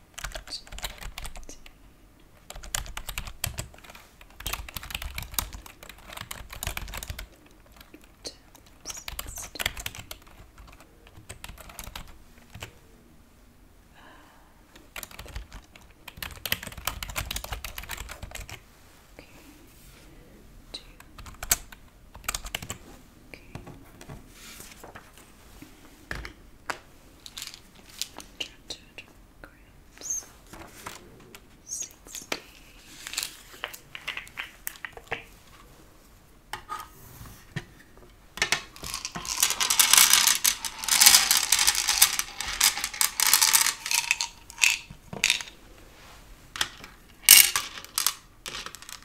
Okay. Two grams, sixty.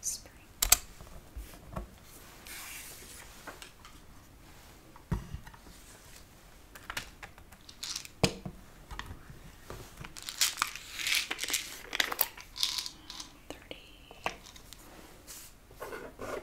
Spring. Thirty.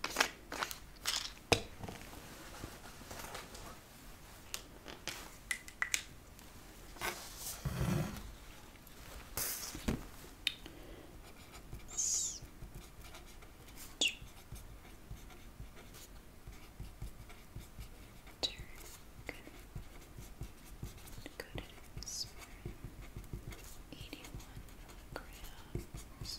Good. Good. 81 grams.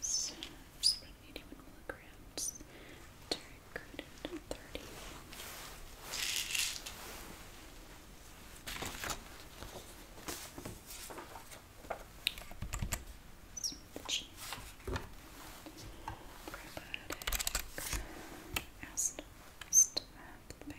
So, just about 81 milligrams, terry coated 30. Some of the cheese. Probiotic acid Thirty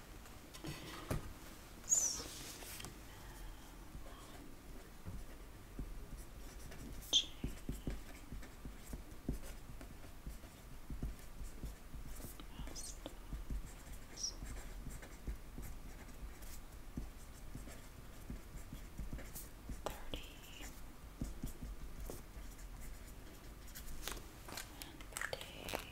Thirty and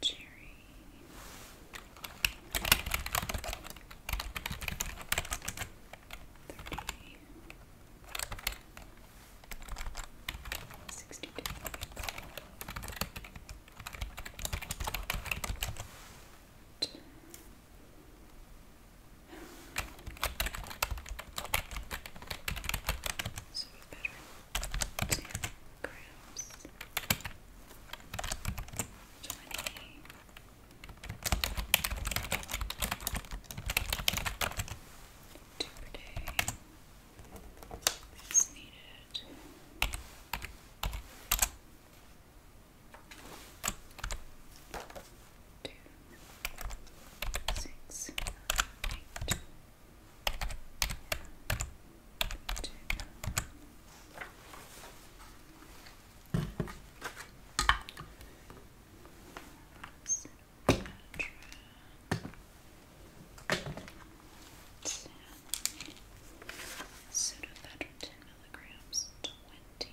Cherry. Thirty. Sixty-two. So we grams. Twenty. Two per needed two, six, eight, two, Seven, Sudafedrin, milligrams, twenty.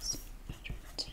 Some better tip,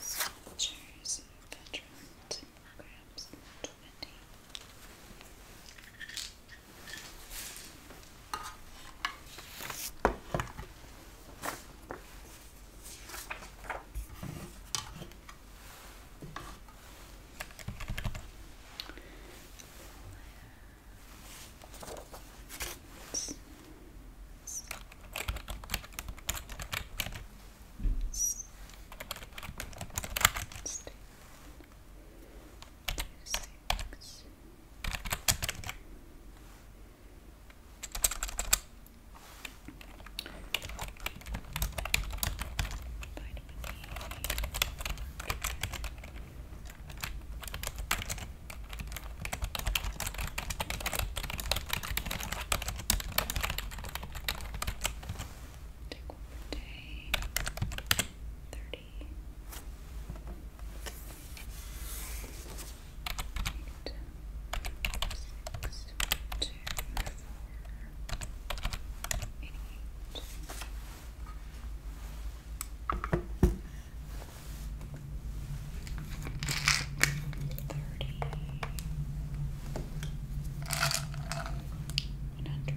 Soldiers and veterans grabs twenty. Black Vitamin E. Take one per day. Thirty. Eight. Six. Two. Four. Eighty-eight. Thirty. One hundred.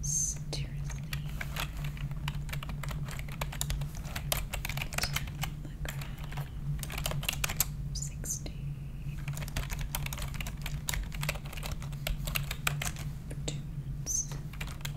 Seriously. Sixty. For two minutes. All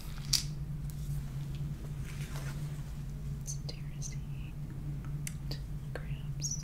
It's terracing, grabs,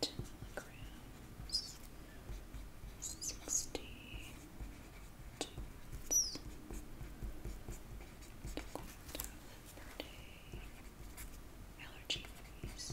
telegrams, sixty dudes, the allergy freeze.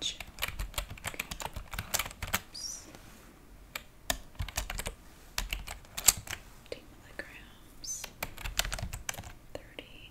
Check. Oops. Fifty milligrams. Thirty.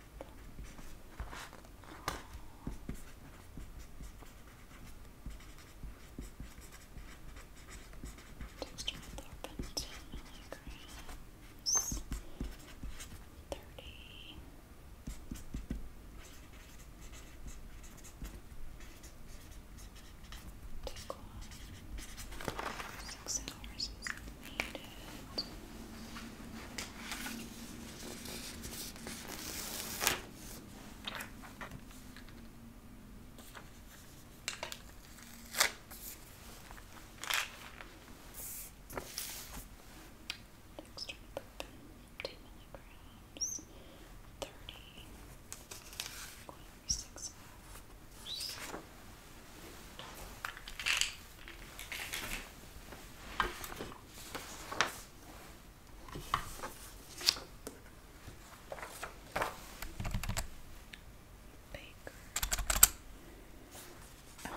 Just with open milligrams, 30. Take one. Six hours need it. milligrams, thirty, going Baker. Oh.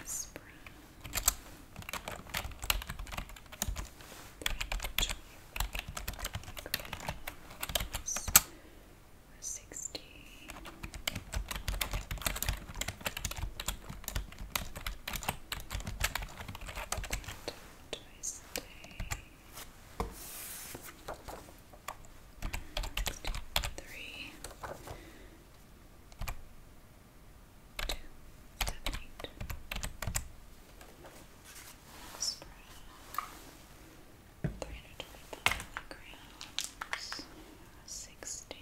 Aspirin. Sixty twice three, two, seven, eight. Spread three hundred twenty-five grams, sixty.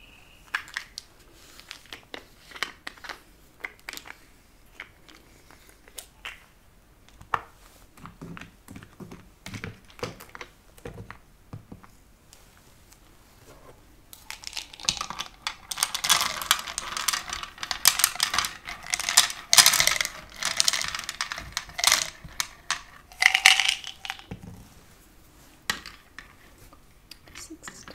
Sixty.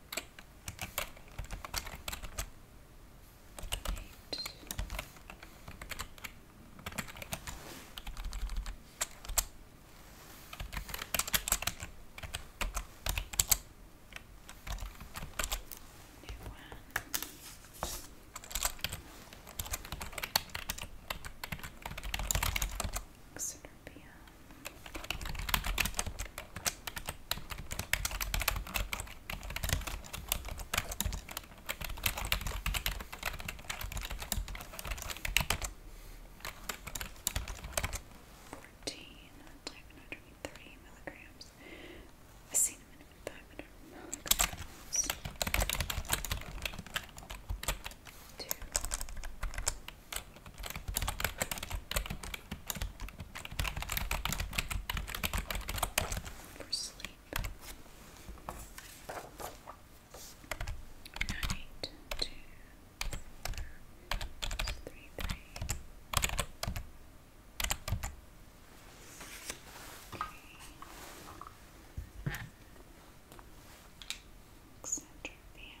Eight. New one. Etc. Fourteen type one hundred and thirty milligrams. I seen them Two. For sleep. Night two four, three three. Okay. Center, bam,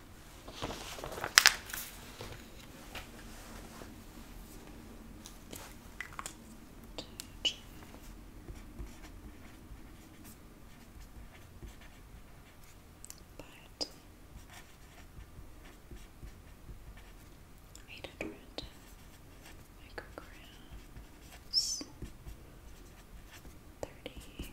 But eight hundred micrograms, thirty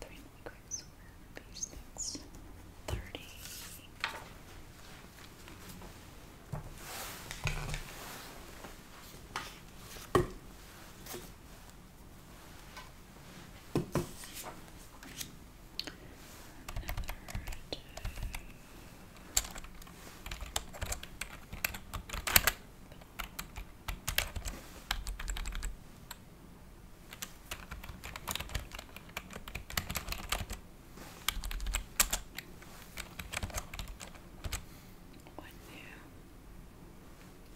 Three milligrams for six thirty. Okay. What new?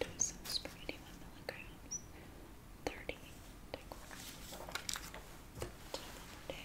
Lotus is pretty one milligrams. Thirty. Take one. Day. Okay.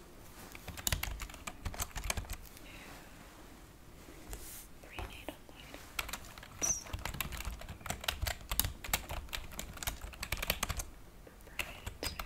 Three native plants. Proprietary. Take one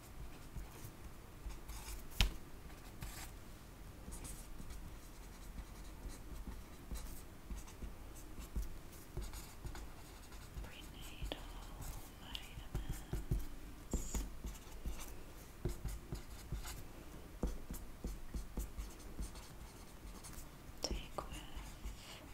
Prenatal vitamins. Take with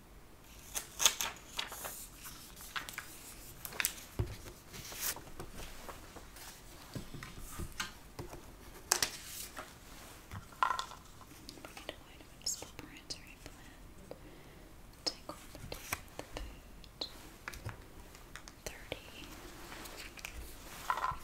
Bring it away to a respiratory plant. Take one thirty with the boot. Thirty. Thirty.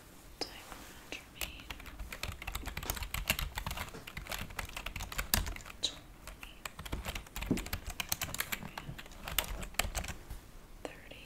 Diclofenac. Twenty. Allergy.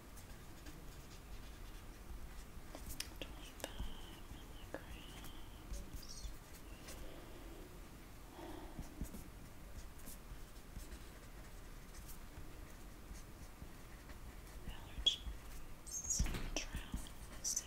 Allergies, drowsiness.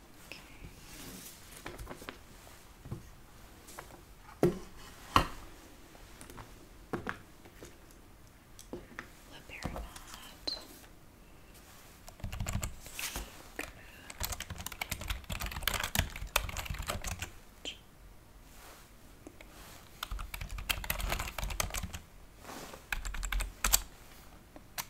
Okay. Libermat. Good. Okay. It's needed. Okay.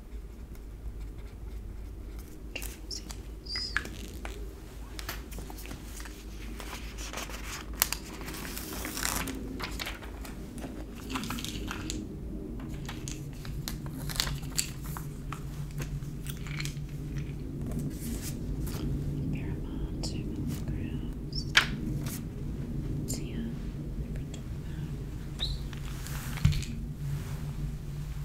Trousers. Paramount, two milligrams. Tia, number two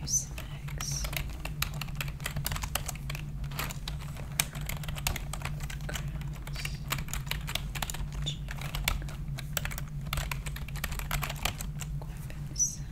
Use the next Growls. Going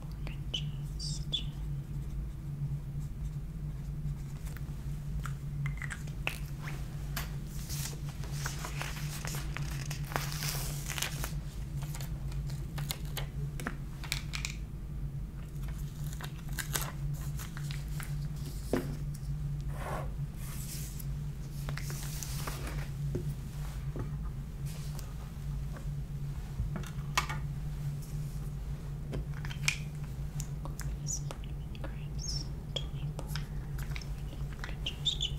congestion. This mini grapes, 24 congestion.